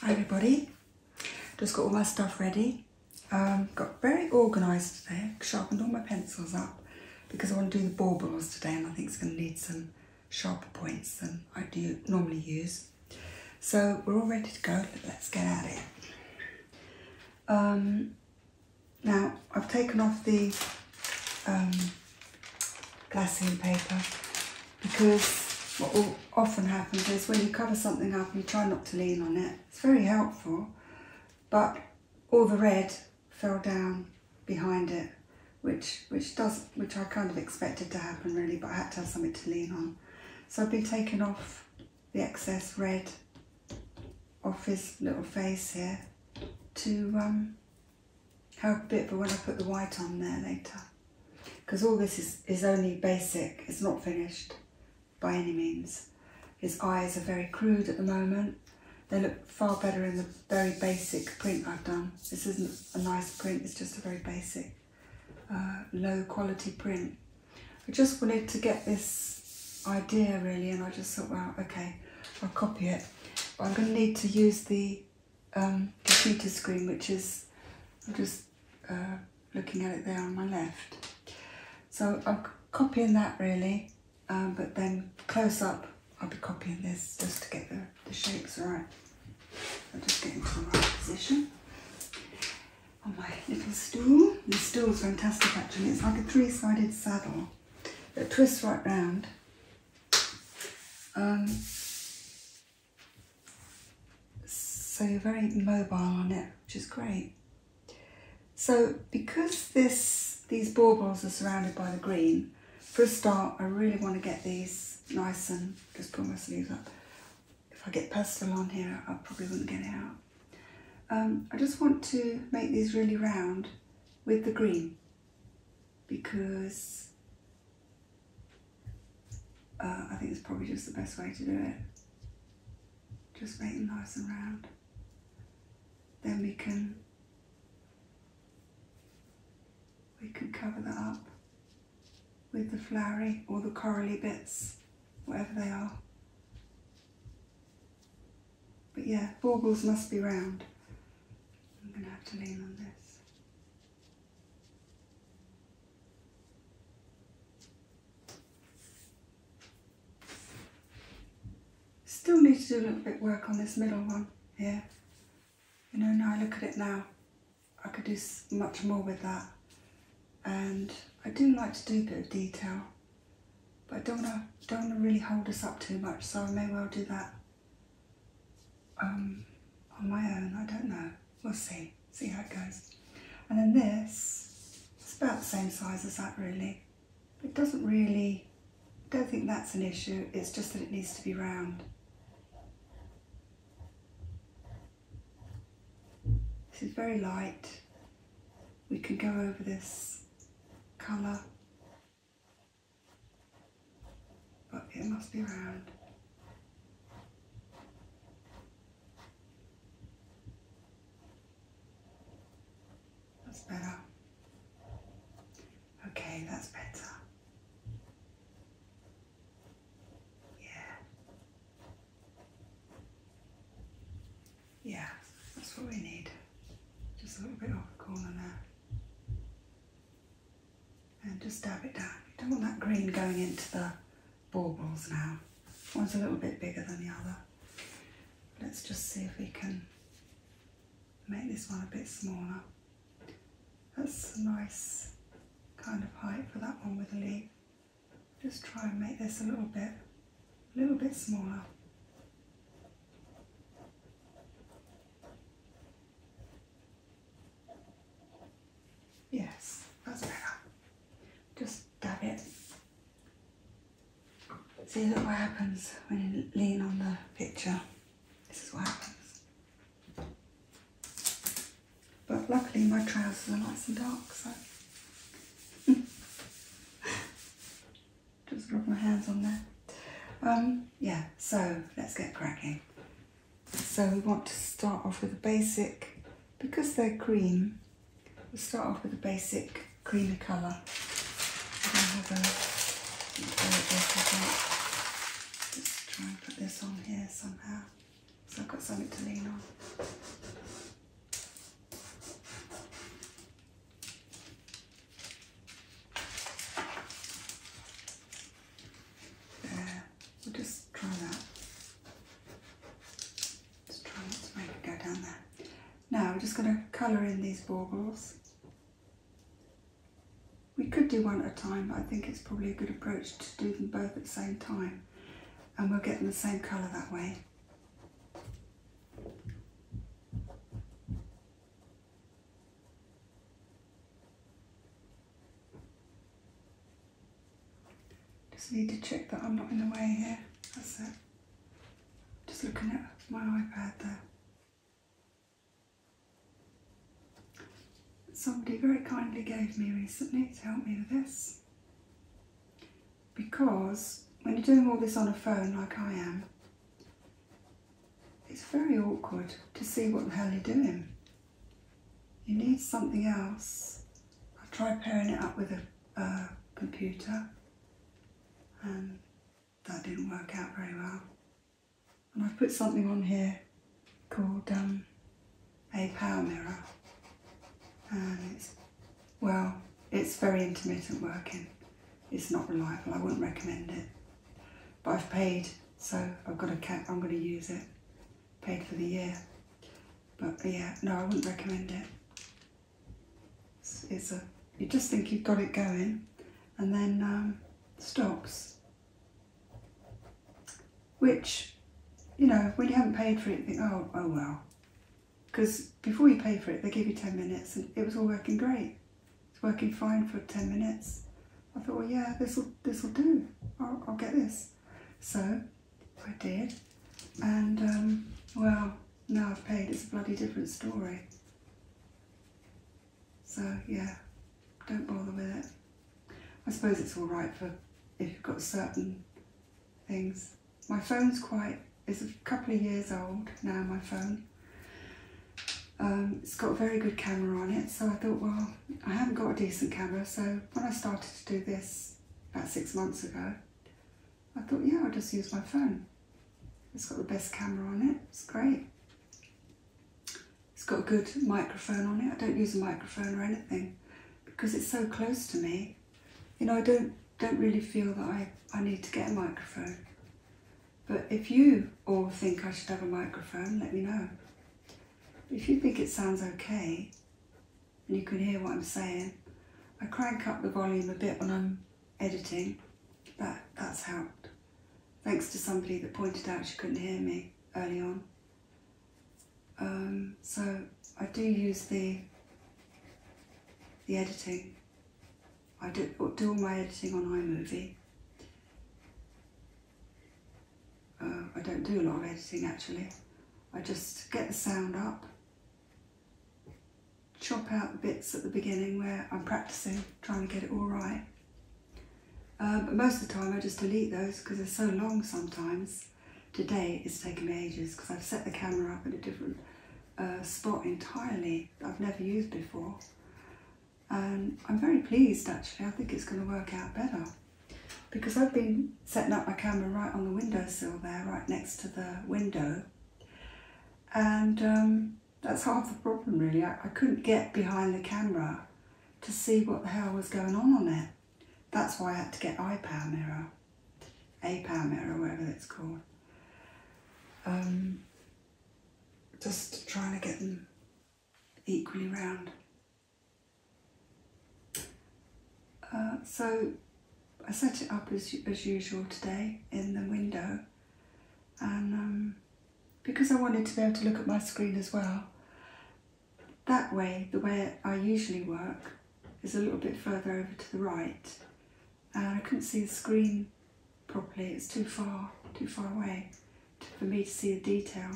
Hi everybody, just got all my stuff ready. Um, got very organised today, sharpened all my pencils up because I want to do the baubles today and I think it's going to need some sharper points than I do normally use. So we're all ready to go, let's get at it. Um, now, I've taken off the um, glassine paper because what often happens is when you cover something up you try not to lean on it. It's very helpful, but all the red fell down behind it, which which does which I kind of expected to happen really, but I had to have something to lean on. So I've been taking off the excess red off his little face here to um, help a bit But when I put the white on there later, because all this is, is only basic, it's not finished by any means. His eyes are very crude at the moment. They look far better in the very basic print I've done. This isn't a nice print, it's just a very basic, uh, low quality print. I just wanted to get this idea really and I just thought well okay I'll copy it I'm going to need to use the um, computer screen which is I'm just uh, looking at it there on my left so I'm copying that really um, but then close up I'll be copying this just to get the, the shapes right I'll just get into the right position on my little stool. The is fantastic actually, it's like a three-sided saddle it twists right round. Um, so very mobile on it, which is great. So because this these baubles are surrounded by the green, for a start, I really want to get these nice and just pull my sleeves up. If I get pastel on here, I probably will not get it out. Um, I just want to make these really round with the green because uh, I think it's probably just the best way to do it. Just make them nice and round. Then we can we can cover that up with the flowery or the corally bits, whatever they are. But yeah, baubles must be round. I'm going to have to lean on this. Still need to do a little bit work on this middle one here. You know, now I look at it now, I could do much more with that. And I do like to do a bit of detail but I don't want uh, to don't really hold us up too much, so I may well do that um, on my own. I don't know. We'll see. See how it goes. And then this, it's about the same size as that really. It doesn't really, don't think that's an issue. It's just that it needs to be round. This is very light we can go over this colour, but it must be round. That's better. Okay, that's better. Yeah. Yeah, that's what we need. Just a little bit off the corner there. And just dab it down. We don't want that green going into the baubles now. One's a little bit bigger than the other. Let's just see if we can make this one a bit smaller. That's a nice kind of height for that one with the leaf. Just try and make this a little bit a little bit smaller. Yes, that's better. Just dab it. See, what happens when you lean on the picture. This is what happens. But luckily my trousers are nice and dark, Just rub my hands on that. Um, yeah, so let's get cracking. So we want to start off with a basic, because they're cream, we'll start off with a basic creamy colour. Just try and put this on here somehow, so I've got something to lean on. There, we'll just try that. Just try to make it go down there. Now we're just going to colour in these baubles. We could do one at a time, but I think it's probably a good approach to do them both at the same time. And we'll get in the same colour that way. Just need to check that I'm not in the way here. That's it. Just looking at my iPad there. Somebody very kindly gave me recently to help me with this because when you're doing all this on a phone like I am, it's very awkward to see what the hell you're doing. You need something else. I've tried pairing it up with a, computer and that didn't work out very well. And I've put something on here called um, a power mirror and it's well, it's very intermittent working. It's not reliable. I wouldn't recommend it. But I've paid, so I've got a cap. I'm going to use it. Paid for the year. But yeah, no, I wouldn't recommend it. It's, a. You just think you've got it going, and then um, stops. Which, you know, when you haven't paid for it, you think, oh, oh well, because before you pay for it, they give you 10 minutes and it was all working great. It's working fine for 10 minutes. I thought, well, yeah, this will this will do. I'll, get this. So I did, and um, well, now I've paid. It's a bloody different story. So yeah, don't bother with it. I suppose it's all right for if you've got certain things my phone's quite, it's a couple of years old now, my phone. Um, it's got a very good camera on it, so I thought, well, I haven't got a decent camera, so when I started to do this about six months ago, I thought, yeah, I'll just use my phone. It's got the best camera on it, it's great. It's got a good microphone on it. I don't use a microphone or anything because it's so close to me you know, I don't, don't really feel that I, I need to get a microphone. But if you all think I should have a microphone, let me know. If you think it sounds okay, and you can hear what I'm saying, I crank up the volume a bit when I'm editing. But that's helped. Thanks to somebody that pointed out she couldn't hear me early on. Um, so I do use the the editing I do, do all my editing on iMovie. Uh, I don't do a lot of editing actually. I just get the sound up, chop out the bits at the beginning where I'm practicing, trying to get it all right. Um, but most of the time I just delete those because they're so long sometimes. Today it's taking me ages because I've set the camera up in a different a spot entirely I've never used before. And I'm very pleased actually, I think it's going to work out better because I've been setting up my camera right on the windowsill there, right next to the window. And um, that's half the problem really. I, couldn't get behind the camera to see what the hell was going on on it. That's why I had to get iPad mirror a palmer or whatever it's called. Um, just trying to get them equally round. Uh, so I set it up as, as usual today in the window and um, because I wanted to be able to look at my screen as well, that way, the way I usually work is a little bit further over to the right and uh, I couldn't see the screen properly. It's too far, too far away for me to see the detail.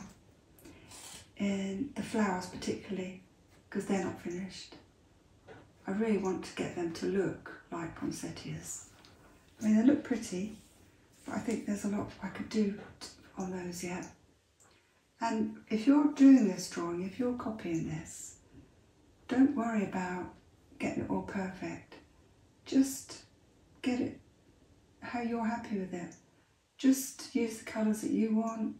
And the flowers particularly, because they're not finished. I really want to get them to look like poinsettias. I mean, they look pretty, but I think there's a lot I could do on those yet. And if you're doing this drawing, if you're copying this, don't worry about getting it all perfect. Just get it how you're happy with it. Just use the colours that you want.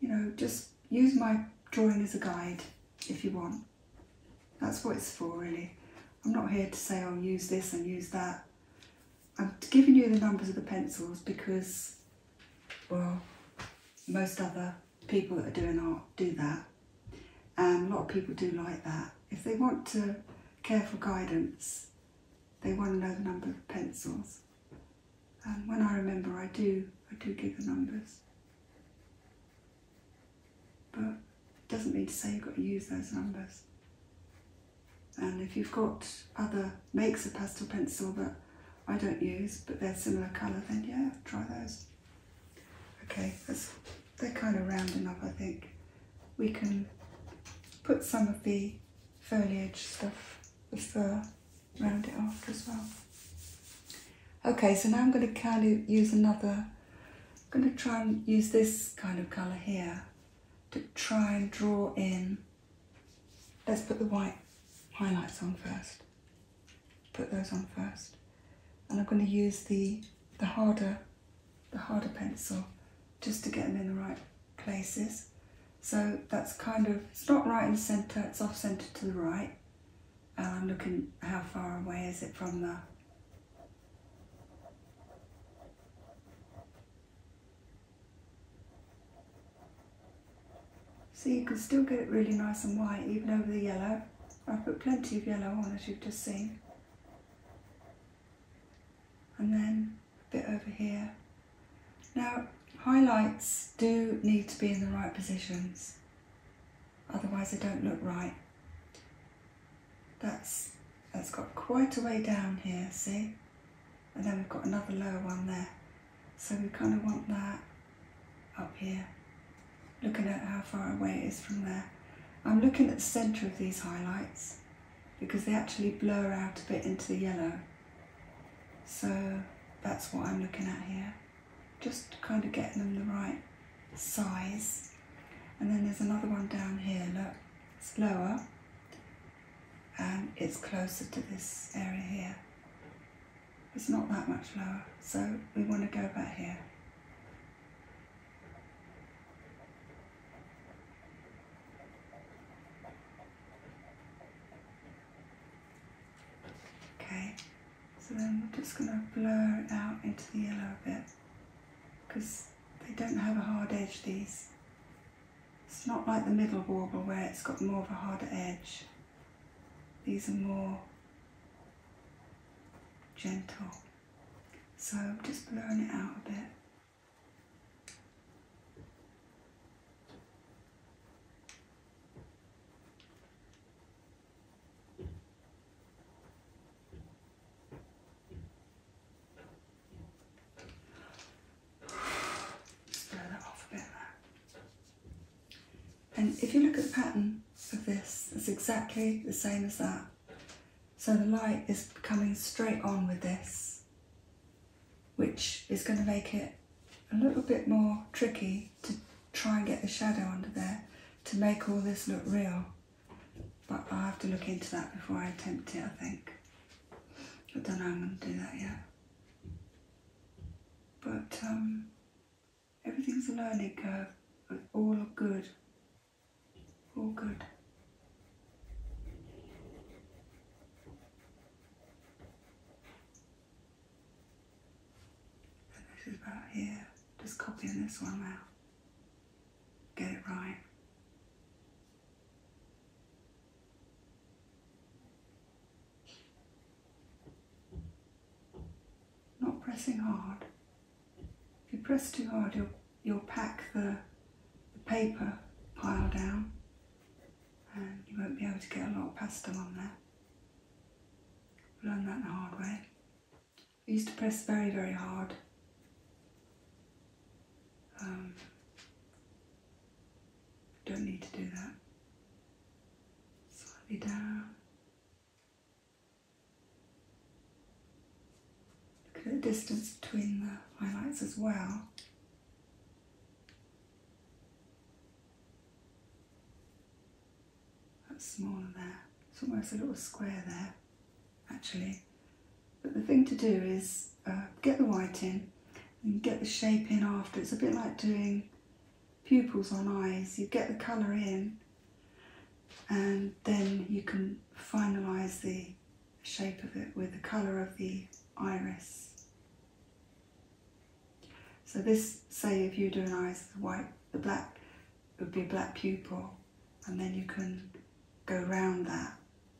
You know, just use my drawing as a guide if you want. That's what it's for, really. I'm not here to say, I'll oh, use this and use that. I'm giving you the numbers of the pencils because, well, most other people that are doing art do that. And a lot of people do like that. If they want to careful guidance, they want to know the number of pencils. And when I remember, I do, I do give the numbers. But it doesn't mean to say you've got to use those numbers. And if you've got other makes of pastel pencil that I don't use, but they're similar colour, then yeah, try those. Okay, that's, they're kind of rounding up. I think. We can put some of the foliage stuff, the uh, fur, round it off as well. Okay, so now I'm going to kind of use another, I'm going to try and use this kind of colour here to try and draw in. Let's put the white highlights on first put those on first. And I'm going to use the, the harder the harder pencil just to get them in the right places. So that's kind of, it's not right in the centre, it's off centre to the right. And I'm looking how far away is it from the so you can still get it really nice and white even over the yellow. I've put plenty of yellow on as you've just seen. And then a bit over here. Now highlights do need to be in the right positions, otherwise they don't look right. That's, that's got quite a way down here, see? And then we've got another lower one there. So we kind of want that up here, looking at how far away it is from there. I'm looking at the centre of these highlights because they actually blur out a bit into the yellow. So that's what I'm looking at here. Just kind of getting them the right size. And then there's another one down here, look, it's lower and it's closer to this area here. It's not that much lower, so we want to go back here. Okay, so then we're just going to blur it out into the yellow a bit because they don't have a hard edge, these. It's not like the middle warble where it's got more of a harder edge. These are more gentle. So I'm just blowing it out a bit. blow that off a bit there. And if you look at the pattern of this, it's exactly the same as that. So the light is coming straight on with this, which is going to make it a little bit more tricky to try and get the shadow under there to make all this look real. But i have to look into that before I attempt it, I think. I don't know I'm going to do that yet. But um, Everything's a learning curve. It's all good. All good. This is about here. Just copying this one out. Get it right. Not pressing hard. If you press too hard, you'll, you'll pack the, the paper pile down and you won't be able to get a lot of pastel on there. Learned that the hard way. I used to press very, very hard. Um, don't need to do that. Slightly down, Look at the distance between the highlights as well. That's smaller there. It's almost a little square there, actually. But the thing to do is uh, get the white in and get the shape in after. It's a bit like doing pupils on eyes, you get the colour in and then you can finalise the shape of it with the colour of the iris. So this, say if you do an iris, the white, the black would be a black pupil and then you can go round that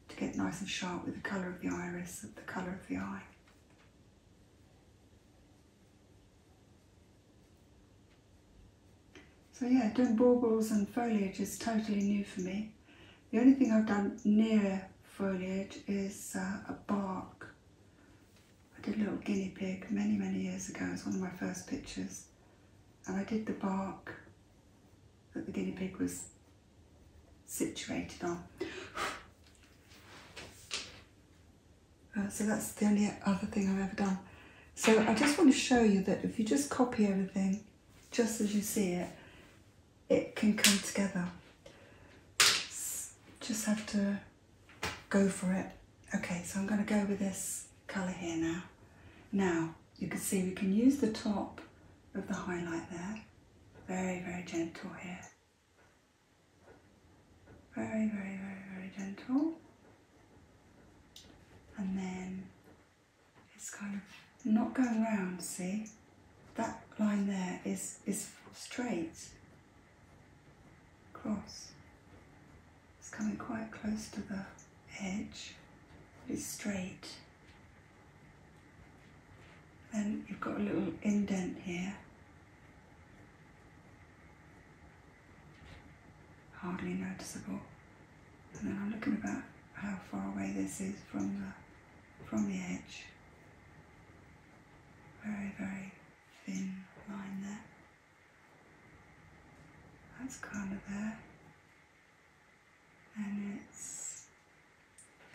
to get nice and sharp with the colour of the iris, the colour of the eye. So yeah, doing baubles and foliage is totally new for me. The only thing I've done near foliage is uh, a bark. I did a little guinea pig many, many years ago. It's one of my first pictures. And I did the bark that the guinea pig was situated on. Uh, so that's the only other thing I've ever done. So I just want to show you that if you just copy everything, just as you see it, it can come together. Just have to go for it. Okay, so I'm going to go with this colour here now. Now, you can see we can use the top of the highlight there. Very, very gentle here. Very, very, very, very gentle. And then it's kind of not going round, see? That line there is, is straight, cross. It's coming quite close to the edge, it's straight. and you've got a little indent here hardly noticeable. And then I'm looking about how far away this is from the, from the edge. Very, very thin line there. That's kind of there. And it's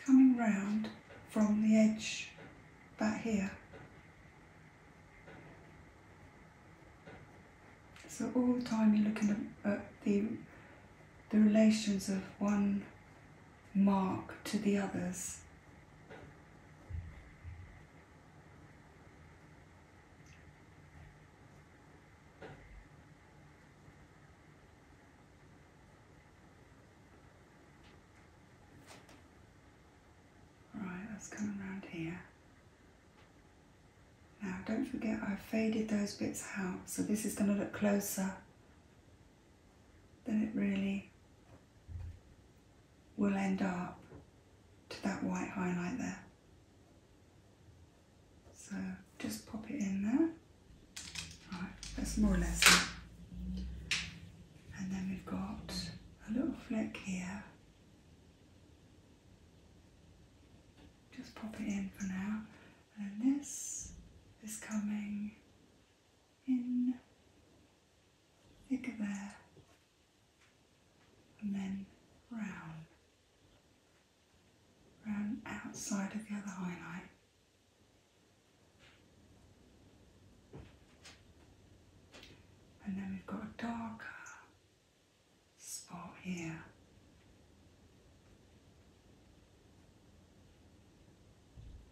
coming round from the edge back here so all the time you're looking at the, the relations of one mark to the others. Right, let's come here. Now don't forget I've faded those bits out, so this is going to look closer than it really will end up to that white highlight there. So just pop it in there. Right, that's more or less it. And then we've got a little flick here. Just pop it in for now. And this is coming in thicker there and then round, round outside of the other highlight. And then we've got a darker spot here.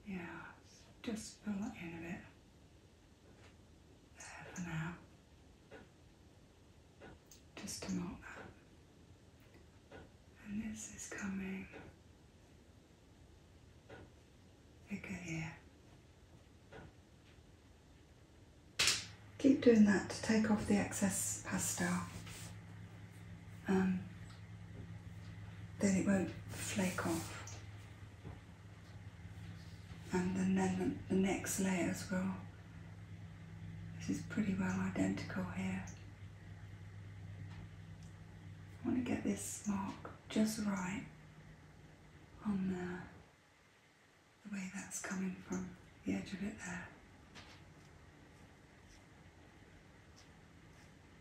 Yeah, just fill that in a bit. There for now. Just to mark that. And this is coming Okay. here. Keep doing that to take off the excess pastel. Um, then it won't flake off. And then, then the next layers will, this is pretty well identical here. I want to get this mark just right on the way that's coming from the edge of it there.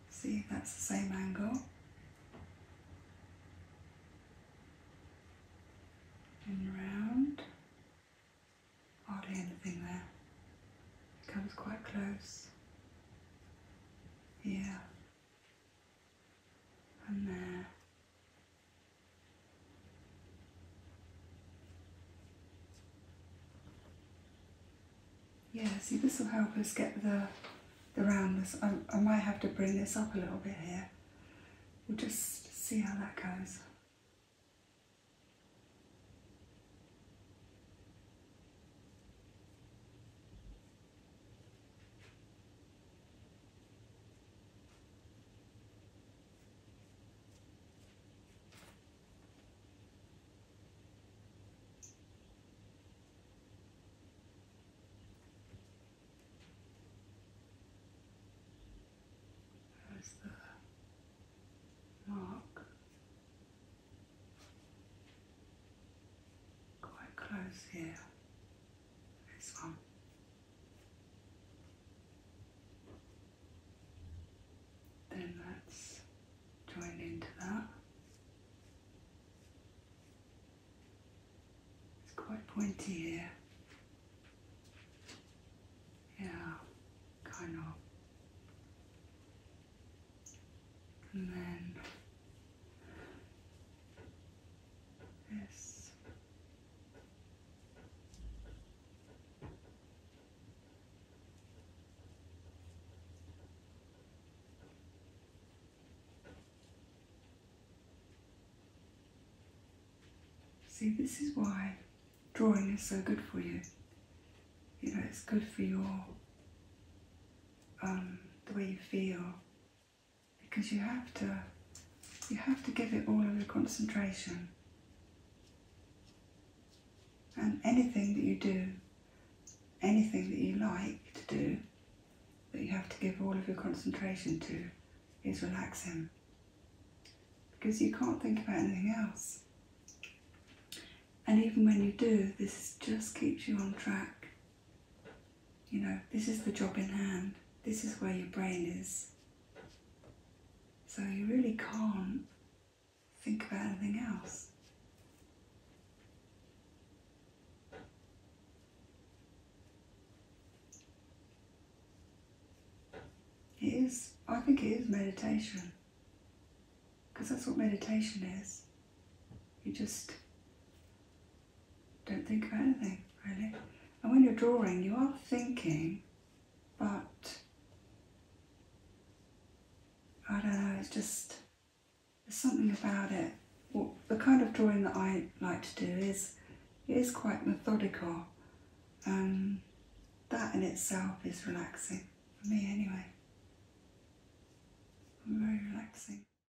See, that's the same angle. And round. Hardly anything there. It comes quite close. Yeah. Yeah, see this will help us get the, the roundness. I might have to bring this up a little bit here. We'll just see how that goes. There's the mark quite close here this one. Then that's joined into that. It's quite pointy here. Yeah, kind of. And then Yes. See, this is why drawing is so good for you. You know, it's good for your um, the way you feel, because you have to you have to give it all of your concentration. And anything that you do, anything that you like to do, that you have to give all of your concentration to, is relaxing. Because you can't think about anything else. And even when you do, this just keeps you on track. You know, this is the job in hand, this is where your brain is. So you really can't think about anything else. It is, I think it is meditation. Because that's what meditation is. You just don't think of anything really. And when you're drawing, you are thinking, but I don't know, it's just there's something about it. the kind of drawing that I like to do is it is quite methodical. and that in itself is relaxing for me anyway. Very relaxing.